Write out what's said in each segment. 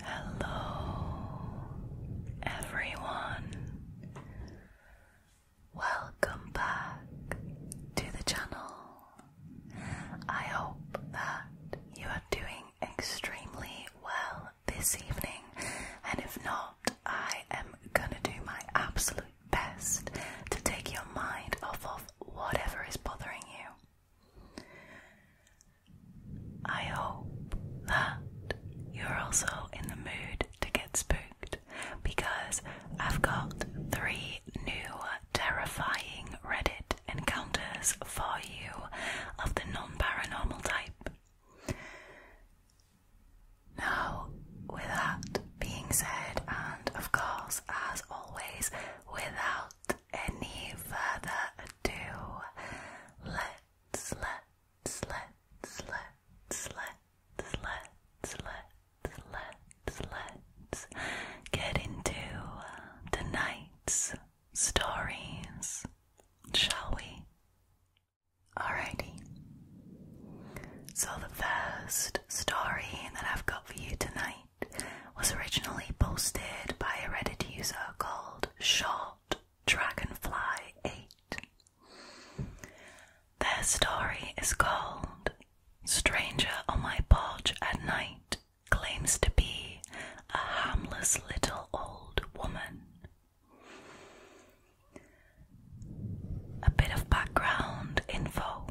Hello, everyone. Welcome back to the channel. I hope that you are doing extremely well this evening, and if not, I am gonna do my absolute best to take your mind off of whatever is bothering you. I hope that you're also in the mood to get spooked because I've got three new terrifying Reddit Encounters for you of the non paranormal type. Now, with that being said, and of course, as always, without any further ado, let's, let's, let's, let's, let's, let's, let's, let let's get into tonight's stories, shall we? Alrighty. So the first story that I've got for you tonight was originally posted by a Reddit user called Short Dragonfly 8. Their story is called Stranger on My Porch at Night claims to be a harmless little old woman. A bit of background info.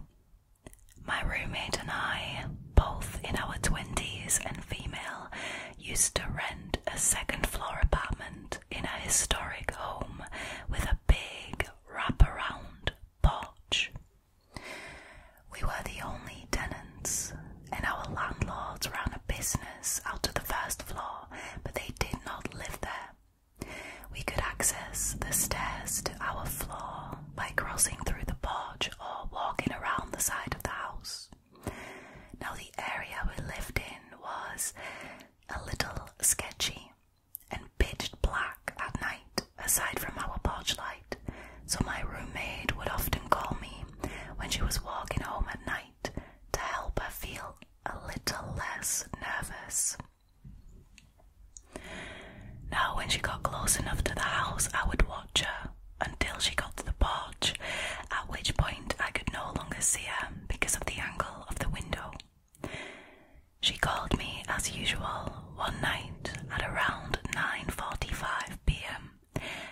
My roommate and I, both in our 20s and female, used to rent a second floor apartment in a historic home with a big wraparound porch. We were the only tenants, and our landlords ran a business out of the first floor, but they did not live there. We could access the stairs to our floor by crossing through the porch or walking around the side of the house. Now, the area we lived in was a little sketchy, and Pitched black at night, aside from our porch light, so my roommate would often call me when she was walking home at night to help her feel a little less nervous. Now, when she got close enough to the house, I would watch her until she got to the porch, at which point I could no longer see her because of the angle of the window. She called me as usual one night at around 9:45 p.m.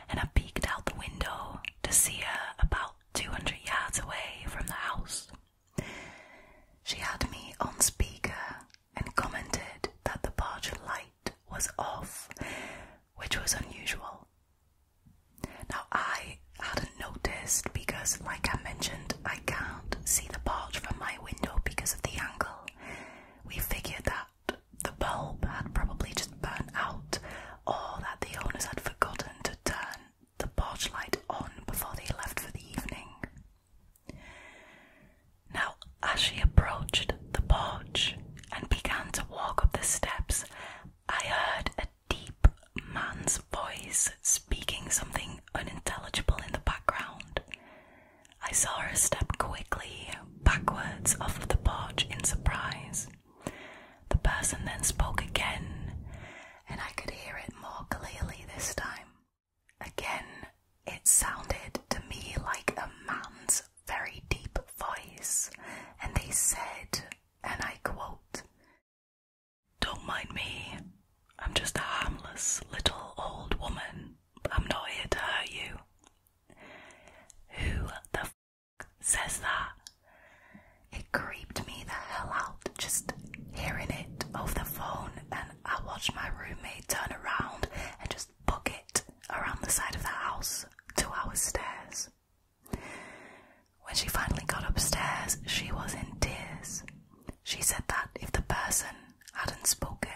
and I peeked out the window to see her about 200 yards away from the house. She had me on speaker and commented that the porch light was off, which was unusual. Now, I hadn't noticed because, like I mentioned, I can't see the porch from my window because of the angle, we figured that the bulb had probably just burnt out, or that the owners had forgotten to turn the porch light on before they left for the evening. Now, as she approached the porch and began to walk up the steps, I heard a deep man's voice speaking something unintelligible in the background. I saw her step quickly backwards off the porch in surprise. The person then spoke again, and I could hear it more clearly this time. Again, it sounded to me like a man's very deep voice, and they said, and I quote, Don't mind me, I'm just a harmless little old woman I'm not here to hurt you. Who the f says that? It creeped me the hell out just hearing it over the phone, and I watched my roommate turn around and just book it around the side of the house to our stairs. When she finally got upstairs, she was in tears. She said that if the person hadn't spoken,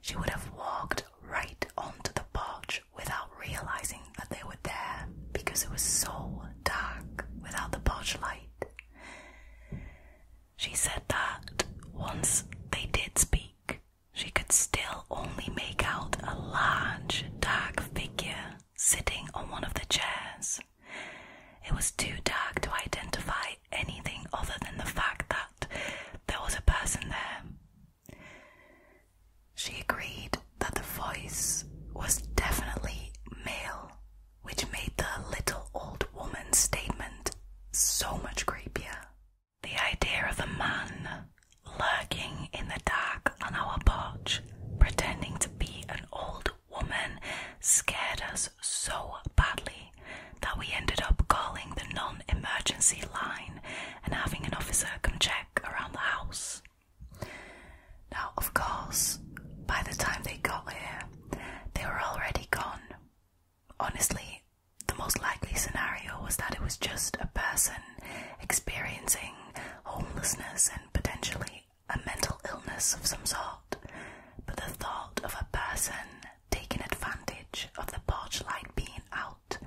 she would have walked right onto the porch without realizing that they were there because it was so dark without the porch light. She said that once they did speak, she could still only make out a large, dark figure sitting on one of the chairs. It was too dark to identify anything other than the fact that there was a person there. She agreed that the voice was definitely male, which made the little old woman's statement so much creepier. The idea of a man lurking in the dark on our porch, pretending to be an old woman, scared us so badly that we ended up calling the non emergency line and having an officer come check around the house. Now, of course, by the time they got here, they were already gone. Honestly, the most likely scenario was that it was just a person experiencing homelessness and potentially a mental illness of some sort. But the thought of a person taking advantage of the porch light being out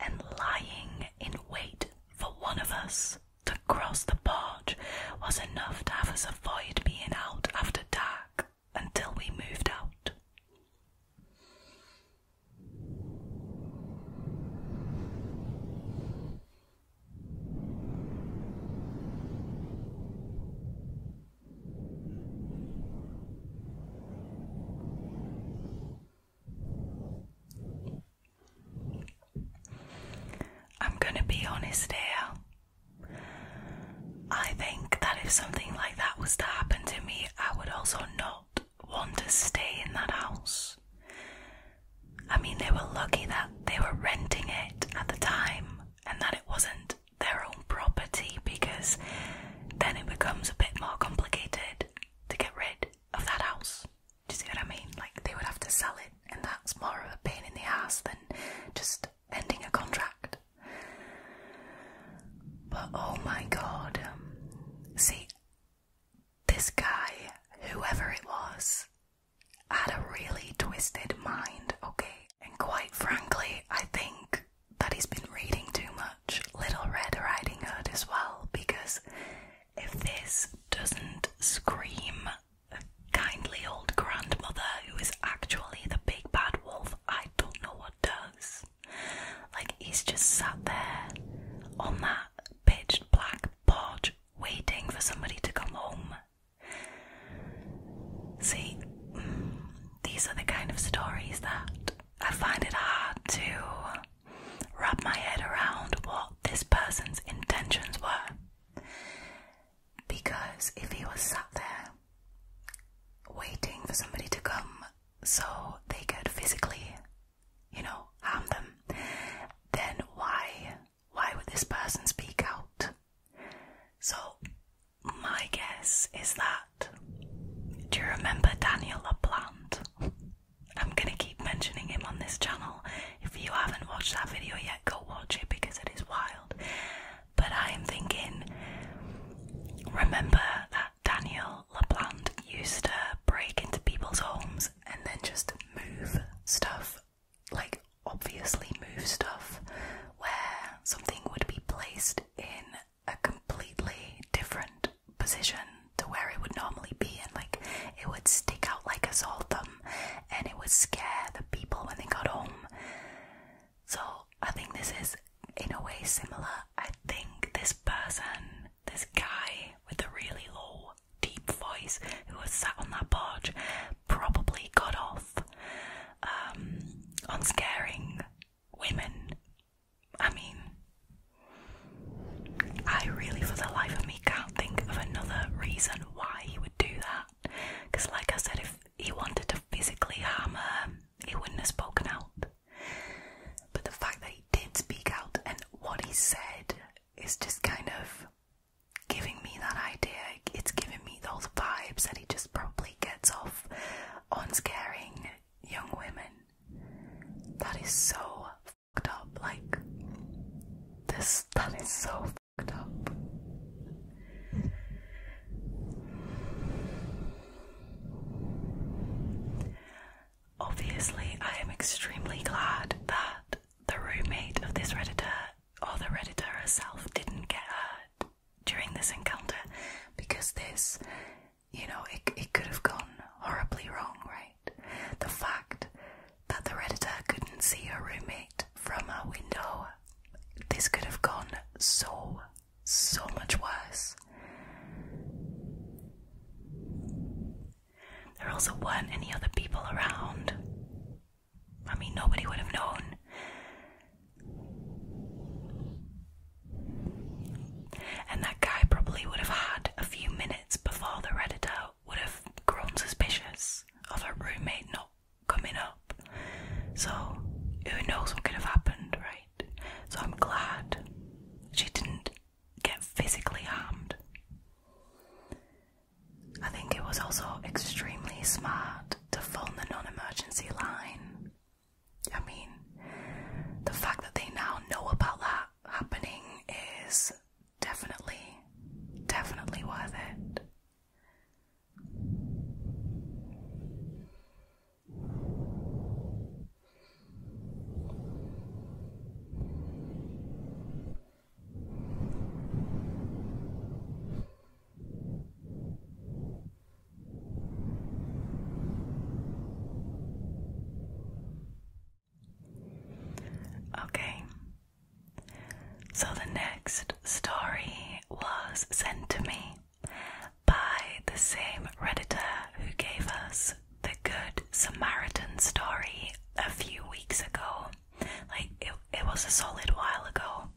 and lying in wait for one of us to cross the porch was enough to have us avoid being out after dark until we moved out. I'm going to be honest here. I think that if something like that was to happen to me, I would also not want to stay in that house. I mean, they were lucky that they were renting it at the time and that it wasn't their own property because then it becomes a bit more complicated to get rid of that house. Do you see what I mean? Like they would have to sell it, and that's more of a pain in the ass than just ending a contract. But oh my god, um, see, this guy, whoever it was, had a really twisted mind, okay? and quite frankly, I think that he's been reading too much Little Red Riding Hood as well, because if this doesn't scream kindly old grandmother who is actually the big bad wolf, I don't know what does. Like, he's just sat there on that pitched black porch waiting for somebody to come home See, these are the kind of stories that I find it hard to wrap my head around what this person's intentions were. Because if he was sat there waiting for somebody to come so they could physically, you know, harm them, then why? Why would this person speak out? So my guess is that. Do you remember Daniel LeBlanc? I'm gonna keep mentioning him on this channel. If you haven't watched that video yet, go watch it because it is wild. But I am thinking, remember that Daniel LeBlanc used to break into people's homes and then just move stuff like obviously move stuff where something would be placed in a completely different position to where it would normally be and like it would stick out like a sore thumb and it would scare the people when they got home. So I think this is in a way similar. I think this person, this guy with the really low deep voice who was sat on that porch probably got off um, on scaring women. I mean, I really, for the life of me, can't think of another reason why he would do that. Because, like I said, if he wanted to physically harm her, he wouldn't have spoken out. But the fact that he did speak out and what he said is just kind of giving me that idea it's giving me those vibes that he just probably gets off on scaring young women. That is so fucked up. Like this that is so fucked up. Obviously, I am extremely glad that the roommate of this Redditor or the Redditor herself didn't get hurt during this encounter because this, you know, it, it could have gone horribly wrong, right? The fact that the Redditor couldn't see her roommate from her window, this could have gone so, so much worse. There also weren't any other people around. I mean, nobody would have known. And that guy probably would have had a few minutes before the Redditor would have grown suspicious of her roommate not coming up. So, who knows what could have happened, right? So, I'm glad she didn't get physically harmed. I think it was also extremely smart to phone the non emergency line. I mean, the fact that they now know about that happening is definitely, definitely worth it. Okay. So the next story was sent to me by the same Redditor who gave us the Good Samaritan story a few weeks ago. Like, it, it was a solid while ago.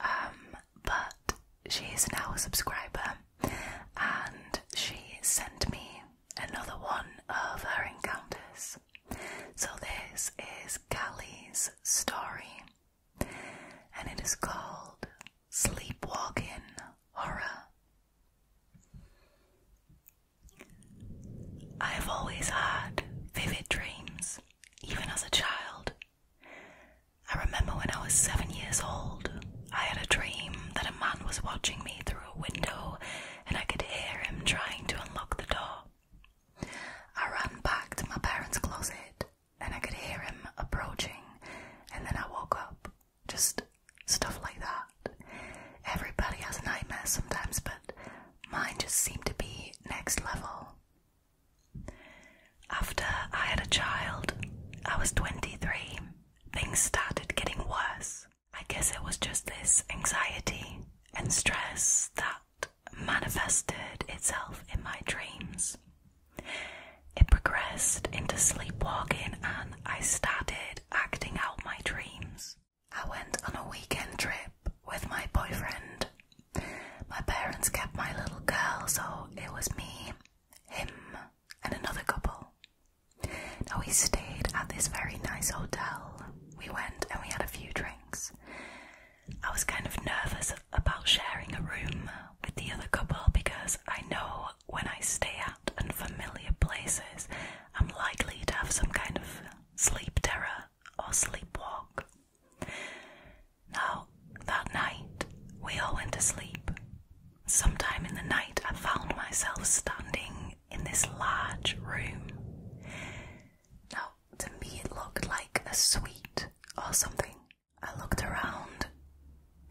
Um, but she is now a subscriber and she sent me another one of her encounters. So this is Callie's story and it is called Sleepwalking Horror. I've always had vivid dreams even as a child. I remember when I was seven years old, I had a dream that a man was watching me through a window and I could hear him trying to unlock the door. I ran back to my parents' closet and I could hear him approaching, and then I woke up. Just stuff like that. Everybody has nightmares sometimes, but mine just seemed to be next level. After I had a child, I was 23. Things started getting worse. I guess it was just this anxiety and stress that manifested itself in my dreams. It progressed into sleepwalking and I started acting out my dreams. I went on a weekend trip with my boyfriend my parents kept my little girl, so it was me, him, and another couple. Now we stayed at this very nice hotel. We went and we had a few drinks. I was kind of nervous about sharing a room with the other couple because I know when I stay at unfamiliar places, I'm likely to have some kind of sleep terror or sleepwalk. Now, that night, we all went to sleep. Sometime in the night, I found myself standing in this large room. Now, to me, it looked like a suite or something. I looked around,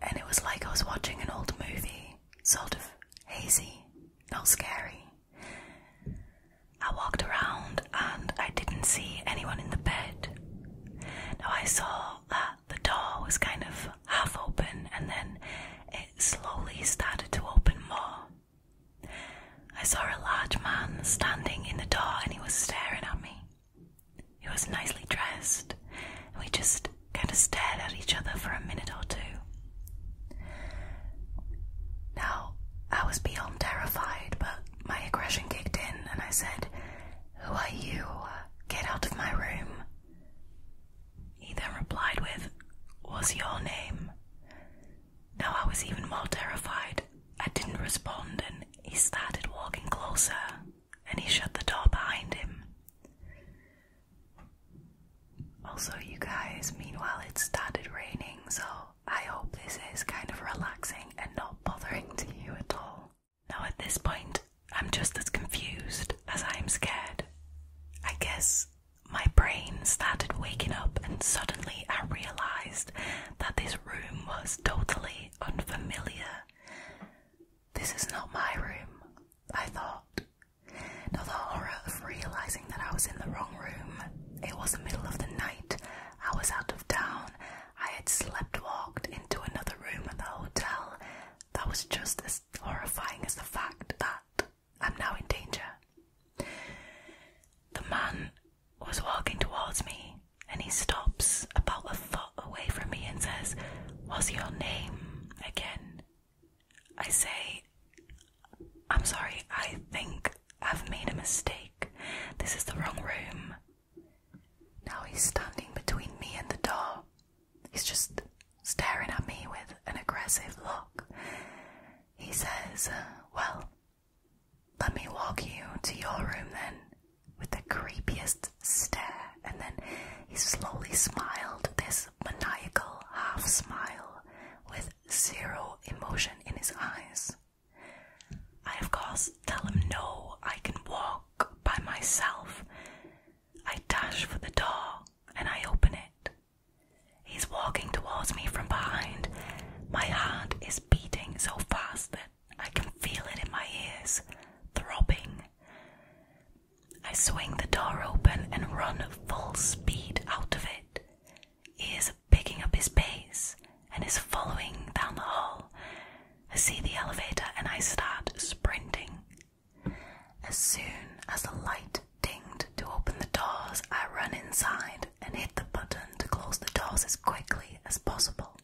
and it was like I was watching an old movie, sort of hazy, not scary. I walked around and I didn't see anyone in the bed. Now I saw that the door was kind of half open and then it slowly started to open more. I saw a large man standing in the door and he was staring at me. He was nicely dressed and we just kind of stared at each other for a minute or two. Now, I was beyond terrified, but my aggression kicked in and I said, Who are you? Get out of my room. He then replied with, "Was your name? Now I was even more terrified. I didn't respond and he started walking closer and he shut the door behind him. Also, you guys, meanwhile, it started raining, so I hope this is kind of relaxing and not bothering to you at all. Now, at this point, I'm just as confused as I am scared. I guess my brain started waking up, and suddenly I realised that this room was totally unfamiliar. This is not my room, I thought. Now, the horror of realising that I was in the wrong room, it was the middle of the night, I was out of town. I had walked into another room at the hotel. That was just as horrifying as the fact that I'm now in danger. The man was walking towards me and he stops about a foot away from me and says, What's your name again? I say, I'm sorry, I think I've made a mistake. This is the wrong room. Now he's standing between me and the door. He's just staring at me with an aggressive look. He says, Well, let me walk you to your room then, with the creepiest stare. And then he slowly smiled this maniacal half smile with zero emotion in his eyes. I, of course, tell him no, I can walk by myself. I dash for the door and I open it. He's walking towards me from behind. My heart is beating so fast that I can feel it in my ears, throbbing. I swing the door open and run full speed out of it. He is picking up his pace and is following down the hall. I see the elevator and I start sprinting. As soon as the light dinged to open the doors, I run inside and hit the button to close the doors as quickly as possible.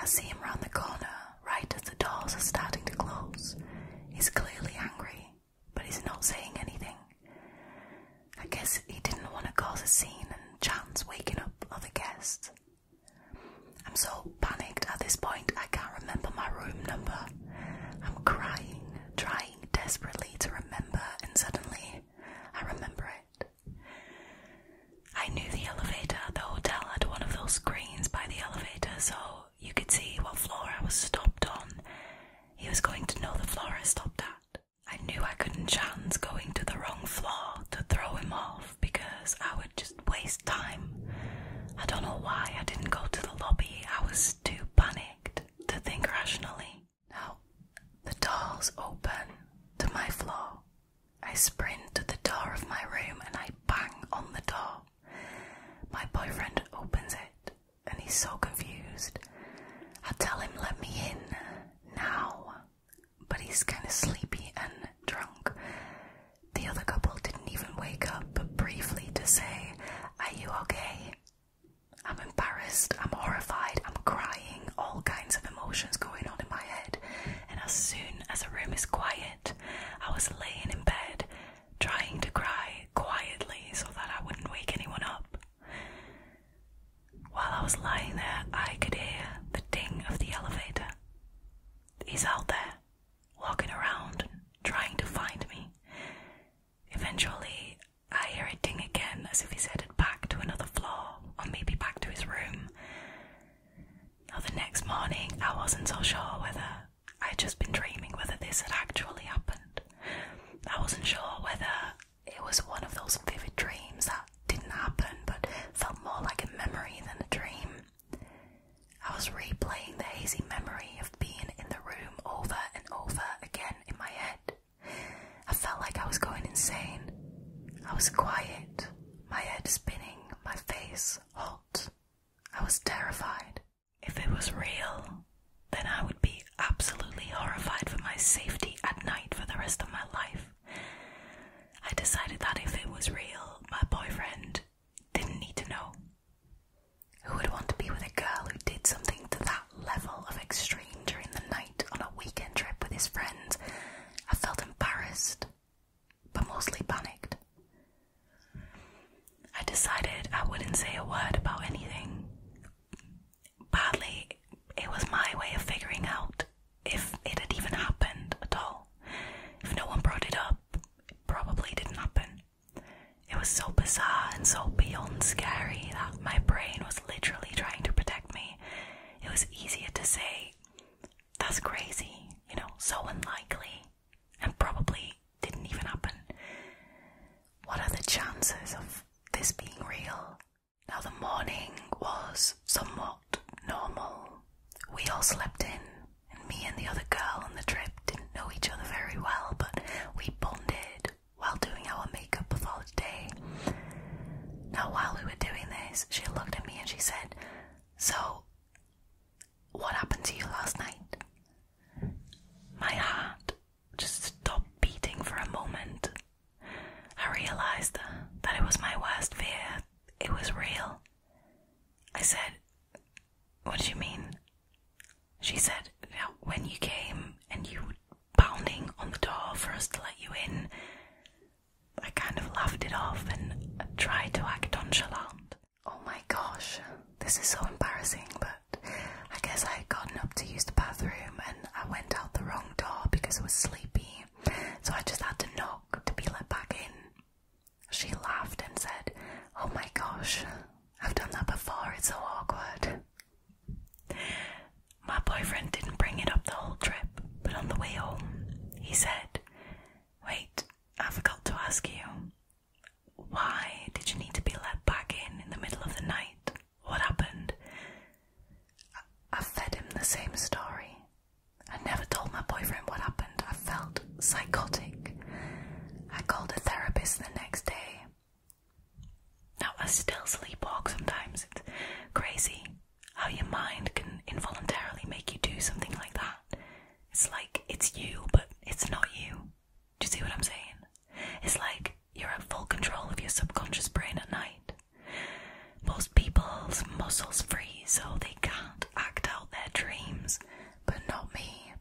I see him round the corner right as the doors are starting to close. He's clearly angry, but he's not saying anything. I guess he didn't want to cause a scene and chance waking up other guests. I'm so panicked at this point, I can't remember my room number. I'm crying, trying desperately to remember, and suddenly I remember it. I knew the elevator at the hotel had one of those screens by the elevator, so you could see what floor I was stopped on. He was going to know the floor I stopped at. I knew I couldn't chance going to the wrong floor to throw him off because I would just waste time. I don't know why I didn't go to the lobby, I was too panicked to think rationally. Now, the doors open to my floor. I sprint to the door of my room and I bang on the door. My boyfriend opens it and he's so confused. I tell him, let me in now, but he's kind of sleepy and drunk. The other couple didn't even wake up briefly to say, Are you okay? I'm embarrassed, I'm horrified, I'm crying, all kinds of emotions going on in my head. And as soon as the room is quiet, I was laying in bed trying to cry quietly so that I wouldn't wake anyone up. While I was lying there, I could hear the ding of the elevator. He's out there, walking around, trying to find me. Eventually, I hear it ding again as if he's headed back to another floor or maybe back to his room. Now, the next morning, I wasn't so sure whether i had just been dreaming whether this had actually happened. I wasn't sure whether it was one of those vivid dreams that didn't happen but felt more like a memory than a dream. I was replaying the hazy memory of being in the room over and over again in my head. I felt like I was going insane. I was quiet, my head spinning, my face hot. I was terrified. If it was real, then I would be absolutely horrified for my safety at night for the rest of my life. I decided that if it was real, my boyfriend didn't need to know. Who would want to be with a girl who did something to that level of extreme during the night on a weekend trip with his friends? I felt embarrassed, but mostly panicked. I decided I wouldn't say a word about anything partly it was my way of figuring out if it had even happened at all. If no one brought it up, it probably didn't happen. It was so bizarre and so beyond scary that my brain was literally trying to protect me. It was easier to say, that's crazy, you know, so unlikely, and probably didn't even happen. What are the chances of this being real? Now, the morning was somewhat normal. We all slept in, and me and the other girl on the trip didn't know each other very well, but we bonded while doing our makeup of our day. Now, while we were doing this, she looked at me and she said, So, what happened to you last night? My heart just stop beating for a moment. I realized that it was my worst fear. It was real. I said, What do you mean? She said, When you came and you were pounding on the door for us to let you in, I kind of laughed it off and tried to act nonchalant. Oh my gosh, this is so embarrassing, but I guess I had gotten up to use the bathroom and I went out the wrong door because I was sleepy, so I just had to knock to be let back in. She laughed and said, Oh my gosh, I've done that before, it's so awkward. My boyfriend didn't bring it up the whole trip, but on the way home, he said, Wait, I forgot to ask you. Why did you need to be let back in in the middle of the night? what happened. I, fed him the same story. I never told my boyfriend what happened. I felt psychotic. I called a therapist the next day. Now I still sleepwalk sometimes. It's crazy how your mind can involuntarily make you do something like that. It's like it's you, but it's not you. Do you see what I'm saying? It's like you're at full control of your subconscious brain at night. Most people's muscles freeze so they can't act out their dreams, but not me.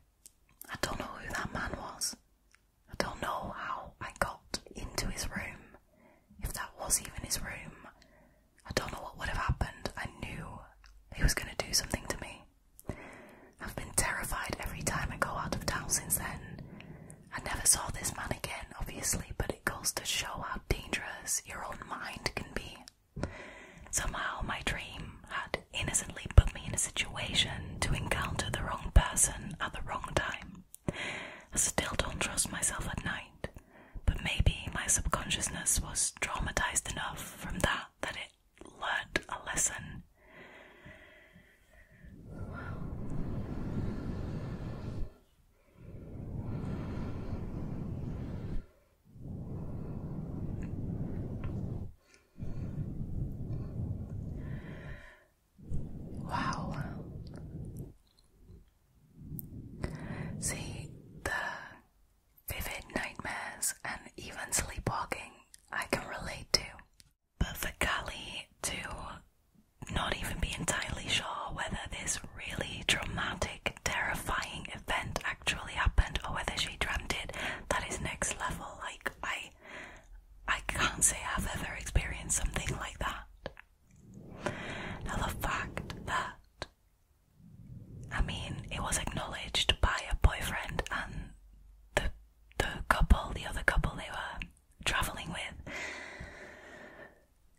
I don't know who that man was. I don't know how I got into his room, if that was even his room. I don't know what would have happened. I knew he was going to do something to me. I've been terrified every time I go out of town since then. I never saw this man again, obviously, but it goes to show how dangerous your own mind can be. Somehow, my dream had innocently put me in a situation to encounter the wrong person at the wrong time. I still don't trust myself at night, but maybe my subconsciousness was traumatized enough from that that it learned a lesson Wow. See the vivid nightmares and even sleepwalking I can relate to. But for Callie to not even be entirely sure whether this really dramatic, terrifying event actually happened or whether she dreamed it, that is next level. Like I I can't say I've ever experienced something like that. Now the fact that I mean it was acknowledged by a boyfriend and the the couple, the other couple they were traveling with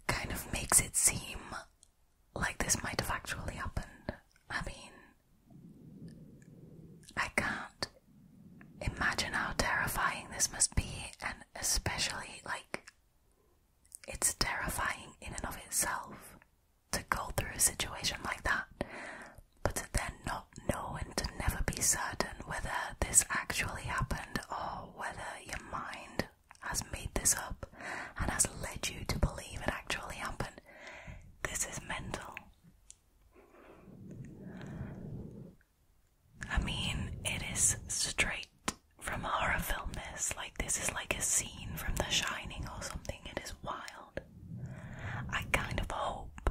kind of makes it seem like this might have actually happened. I mean, I can't imagine how terrifying this must be, and especially like it's terrifying in and of itself to go through a situation like that. But to then not know and to never be certain whether this actually happened or whether your mind has made this up and has led you to believe it actually happened, this is mental. I mean, it is straight from a horror film, this. Like, this is like a scene from The Shining or something. It is wild. I kind of hope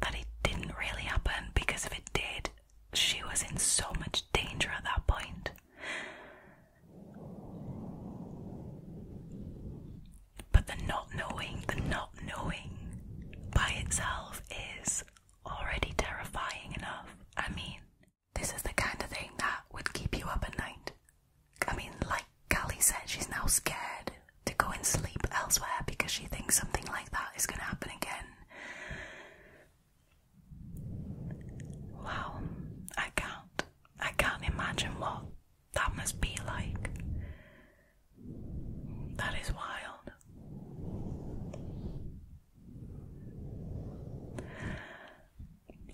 that it didn't really happen because if it did, she was in so much danger at that point. But the not knowing, the not knowing by itself is already terrifying enough. I mean, this is the kind of thing that would keep you up at night. I mean, like Callie said, she's now scared to go and sleep elsewhere because she thinks something like that is going to happen again. Wow, I can't. I can't imagine what that must be like. That is wild.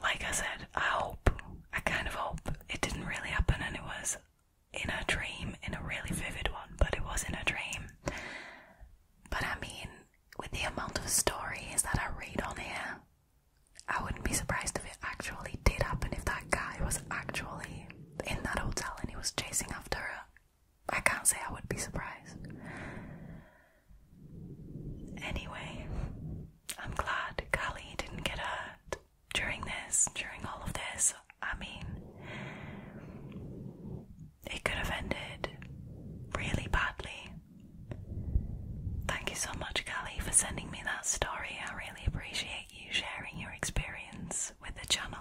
Like I said, I hope, I kind of hope it didn't really happen and it was in a dream, in a really vivid one, but it was in a dream. But I mean, with the amount of stories that I read on here, I wouldn't be surprised if it actually did happen if that guy was actually in that hotel and he was chasing after her. I can't say I would be surprised. Anyway, I'm glad Callie didn't get hurt during this, during all of this, I mean, it could have ended really badly. Thank you so much, Kelly, for sending me that story. I really appreciate you sharing your experience with the channel.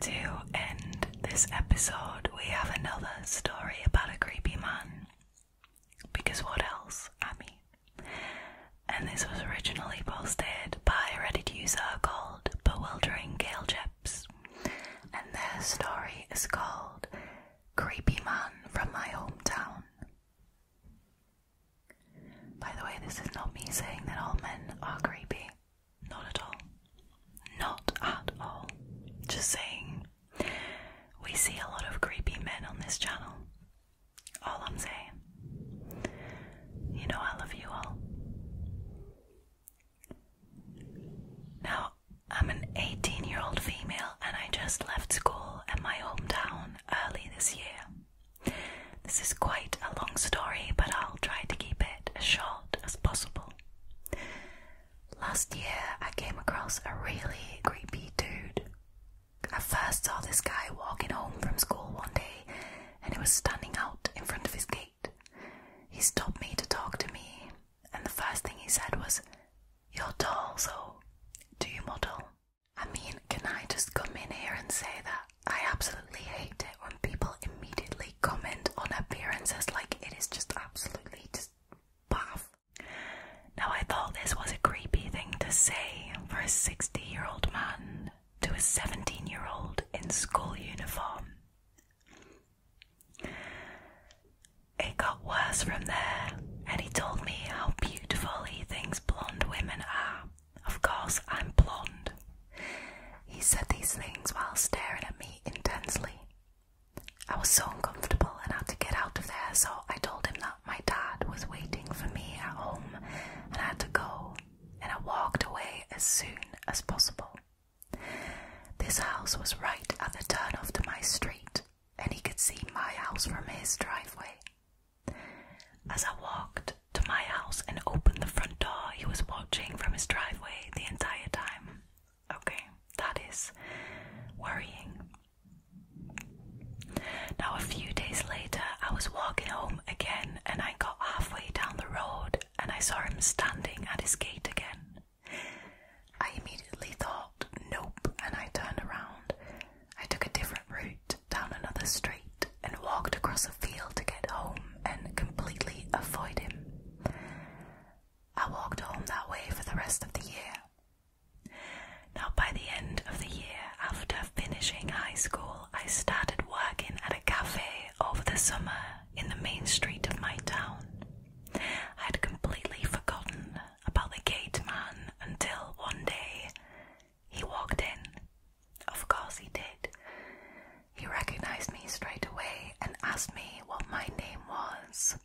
To end this episode, we have another story about a creepy man. Because what else? I And this was originally posted by a Reddit user called called Bewildering Gale Chips, and their story is called Creepy Man from My Hometown. By the way, this is not me saying that all men are creepy. Not at all. Not at all. Just saying. We see a lot of creepy men on this channel. All I'm saying. You know I love you all. Now, I'm an 18 year old female and I just left school and my hometown early this year. This is quite a long story, but I'll try to keep it as short as possible. Last year, I came across a really creepy dude. I first saw this guy walking home from school one day and he was standing out in front of his gate. He stopped me to talk to me, and the first thing he said was, You're tall, so do you model? I mean, can I just come in here and say that I absolutely hate it when people immediately comment on appearances like it is just absolutely just baff. Now, I thought this was a creepy thing to say for a 60 year old man to a 17 year old in school uniform. It got worse from there, and he told me how beautiful he thinks blonde women are. Of course, I'm blonde. He said these things while staring at me intensely. I was so uncomfortable and had to get out of there, so I told him that my dad was waiting for me at home and I had to go and I walked away as soon as possible. This house was right at the turn off to my street, and he could see my house from his driveway. As I walked to my house and opened the front door, he was watching from his driveway the entire time. Okay, that is worrying. Now, a few days later, I was walking home again, and I got halfway down the road and I saw him standing at his gate again. I immediately thought, nope, and I turned around. I took a different route down another street and walked across a field to get home and completely avoid him. I walked home that way for the rest of the year. Now, by the end of the year, after finishing high school, I started working at a cafe over the summer in the main street of my town. I would completely forgotten about the gate man until one day he walked in. Of course, he did. He recognized me straight away and asked me what my name was.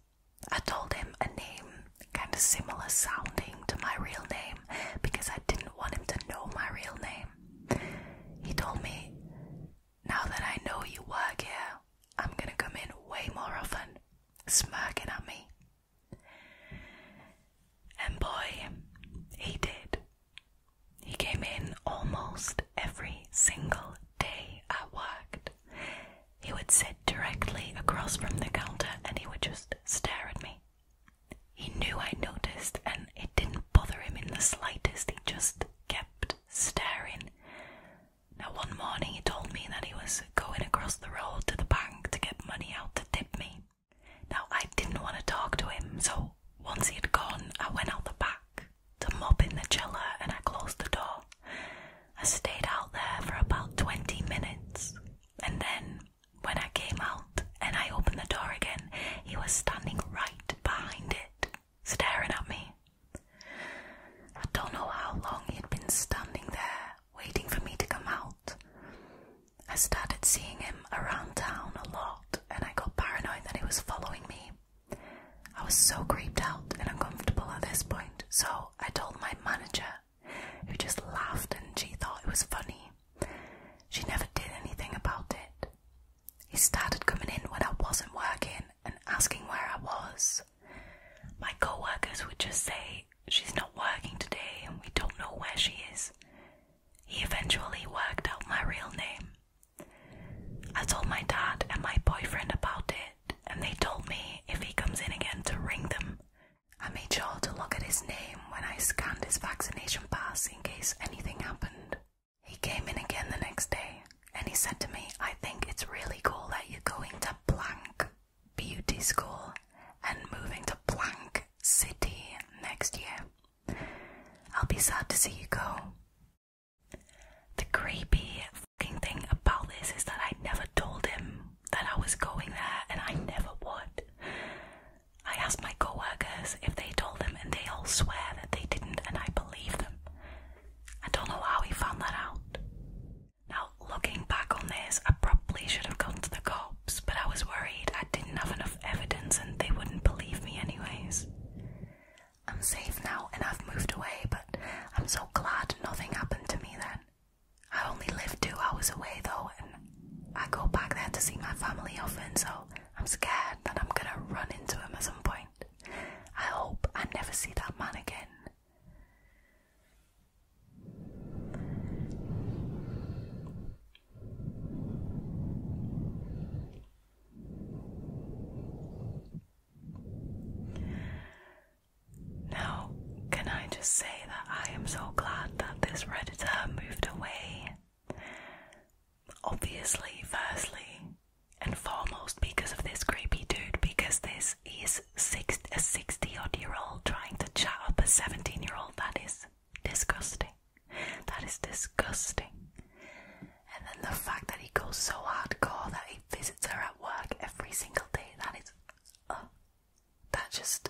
I told him a name kind of similar sounding to my real name because I didn't want him to know my real name. He told me, Now that I know you work here, I'm gonna come in way more often, smirking at me. And boy, he did. He came in almost every single day I worked. He would sit directly across from the counter and he would just stare at me. He knew I noticed, and it didn't bother him in the slightest. He just kept staring. Now, one morning he told me that he was going across the road to the bank to get money out to tip me. Now, I didn't want to talk to him, so once he had gone, I went out the back to mop in the cellar and I closed the door. I stayed out there for about 20 minutes, and then when I came out and I opened the door again, he was standing right behind it, staring at me. I don't know how long he'd been standing there, waiting for me to come out. I started seeing him around town a lot, and I got paranoid that he was following me. I was so creeped out and uncomfortable at this point, so I told my manager, who just laughed and she thought it was funny. She never did anything about it, he started coming in when I wasn't working and asking where I was. My coworkers would just say, She's not working today and we don't know where she is. He eventually worked out my real name. I told my dad and my boyfriend about it, and they told me if he comes in again to ring them. I made sure to look at his name when I scanned his vaccination pass in case anything happened. He came in again the next day and he said to me, I think it's really cool that you're going to blank beauty school and moving to blank city next year. I'll be sad to see you go. The creepy fucking thing about this is that I never told him that I was going there and I never would. I asked my co workers if they told them, and they all swear that they didn't, and I believe them. I don't know how he found that out. Now, looking back on this, I probably should have gone to the cops, but I was worried I didn't have enough evidence and they wouldn't believe me, anyways. I'm safe now and I've moved away, but I'm so glad nothing happened to me then. I only lived two hours away though, and I go back there to see my family often, so I'm scared that I'm gonna run into him at some point. I hope I never see that man again. Now, can I just say that I am so glad that this Redditor moved away? Obviously, firstly and foremost, because of this creepy dude, because this is a 60 odd year old trying to chat up a 17 year old. That is disgusting. That is disgusting. And then the fact that he goes so hardcore that he visits her at work every single day, that is. Uh, that just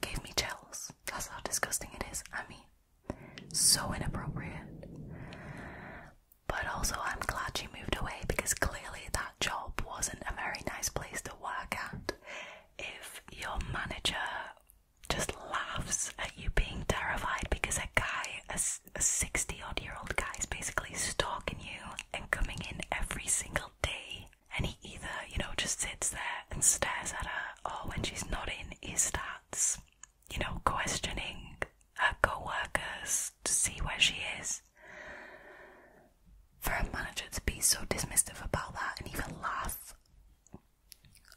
gave me chills. That's how disgusting it is. I mean, so inappropriate. But also, I'm glad she moved away because clearly that job wasn't a very nice place to work at. If your manager just laughs at you being terrified because a guy, a 60 odd year old guy, is basically stalking you and coming in every single day, and he either, you know, just sits there and stares at her, or when she's not in, he starts, you know, questioning her coworkers to see where she is. For a manager to be so dismissive about that and even laugh,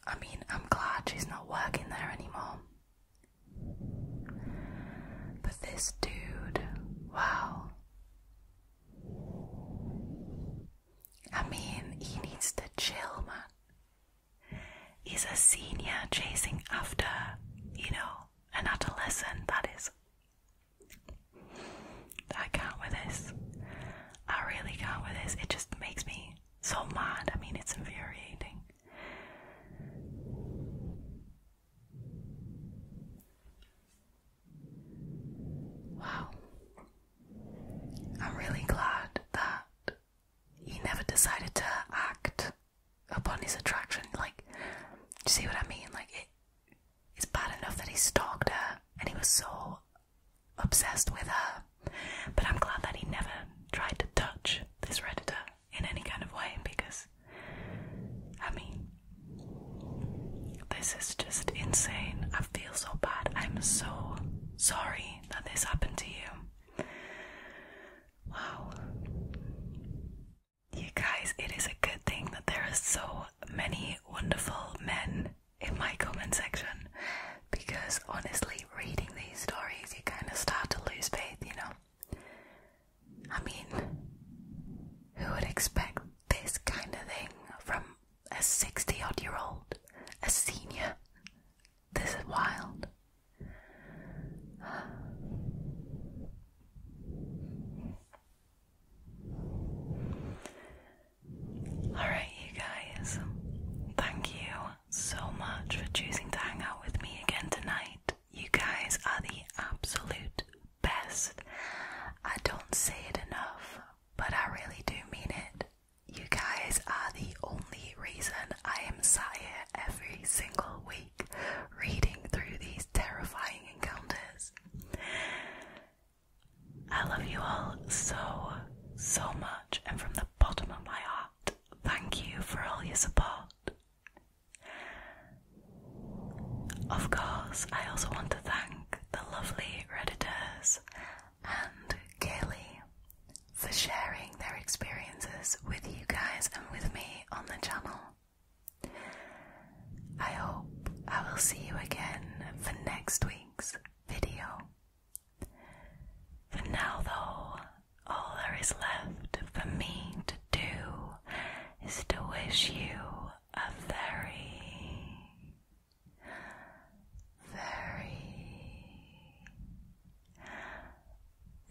I mean, I'm glad she's not working there anymore. But this dude, wow. I mean, he needs to chill, man. He's a senior chasing after, you know, an adolescent, that is. I can't with this. I really can't with this. It just makes me so mad. I mean, it's infuriating. Wow. I'm really glad that he never decided to act upon his attraction. Like, you see what I mean? Like, it's bad enough that he stalked her and he was so obsessed with her. But I'm glad that he never tried to touch this Redditor in any kind of way because, I mean, this is just insane. I feel so bad. I'm so sorry that this happened to you. Wow. You guys, it is a good thing that there are so many wonderful men in my comment section because honestly, reading these stories, you kind of start to lose faith, you know? I mean, who would expect this kind of thing from a 60 odd year old, a senior. This is wild. Alright, you guys, thank you so much for choosing to hang out with me again tonight. You guys are the absolute best. I don't say it enough, but I really do mean it. You guys are the only reason I am sat here every single week reading through these terrifying encounters. I love you all so, so much, and from the bottom of my heart, thank you for all your support. Of course, I also want to thank the lovely Redditors and Kelly, for sharing their experiences with you guys and with me on the channel. I hope I will see you again for next week's video. For now, though, all there is left for me to do is to wish you a very very,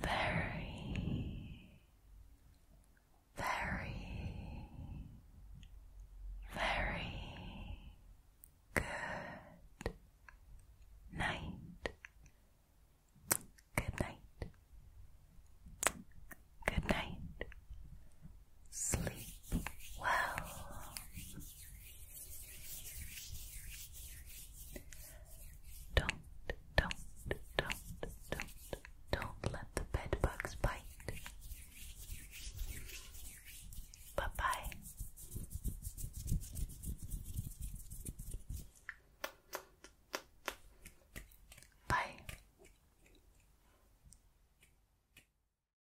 very, very, very good night. Good night. Good night. Sleep well. Don't, don't, don't, don't, don't let the bed bugs bite. Bye bye. Bye.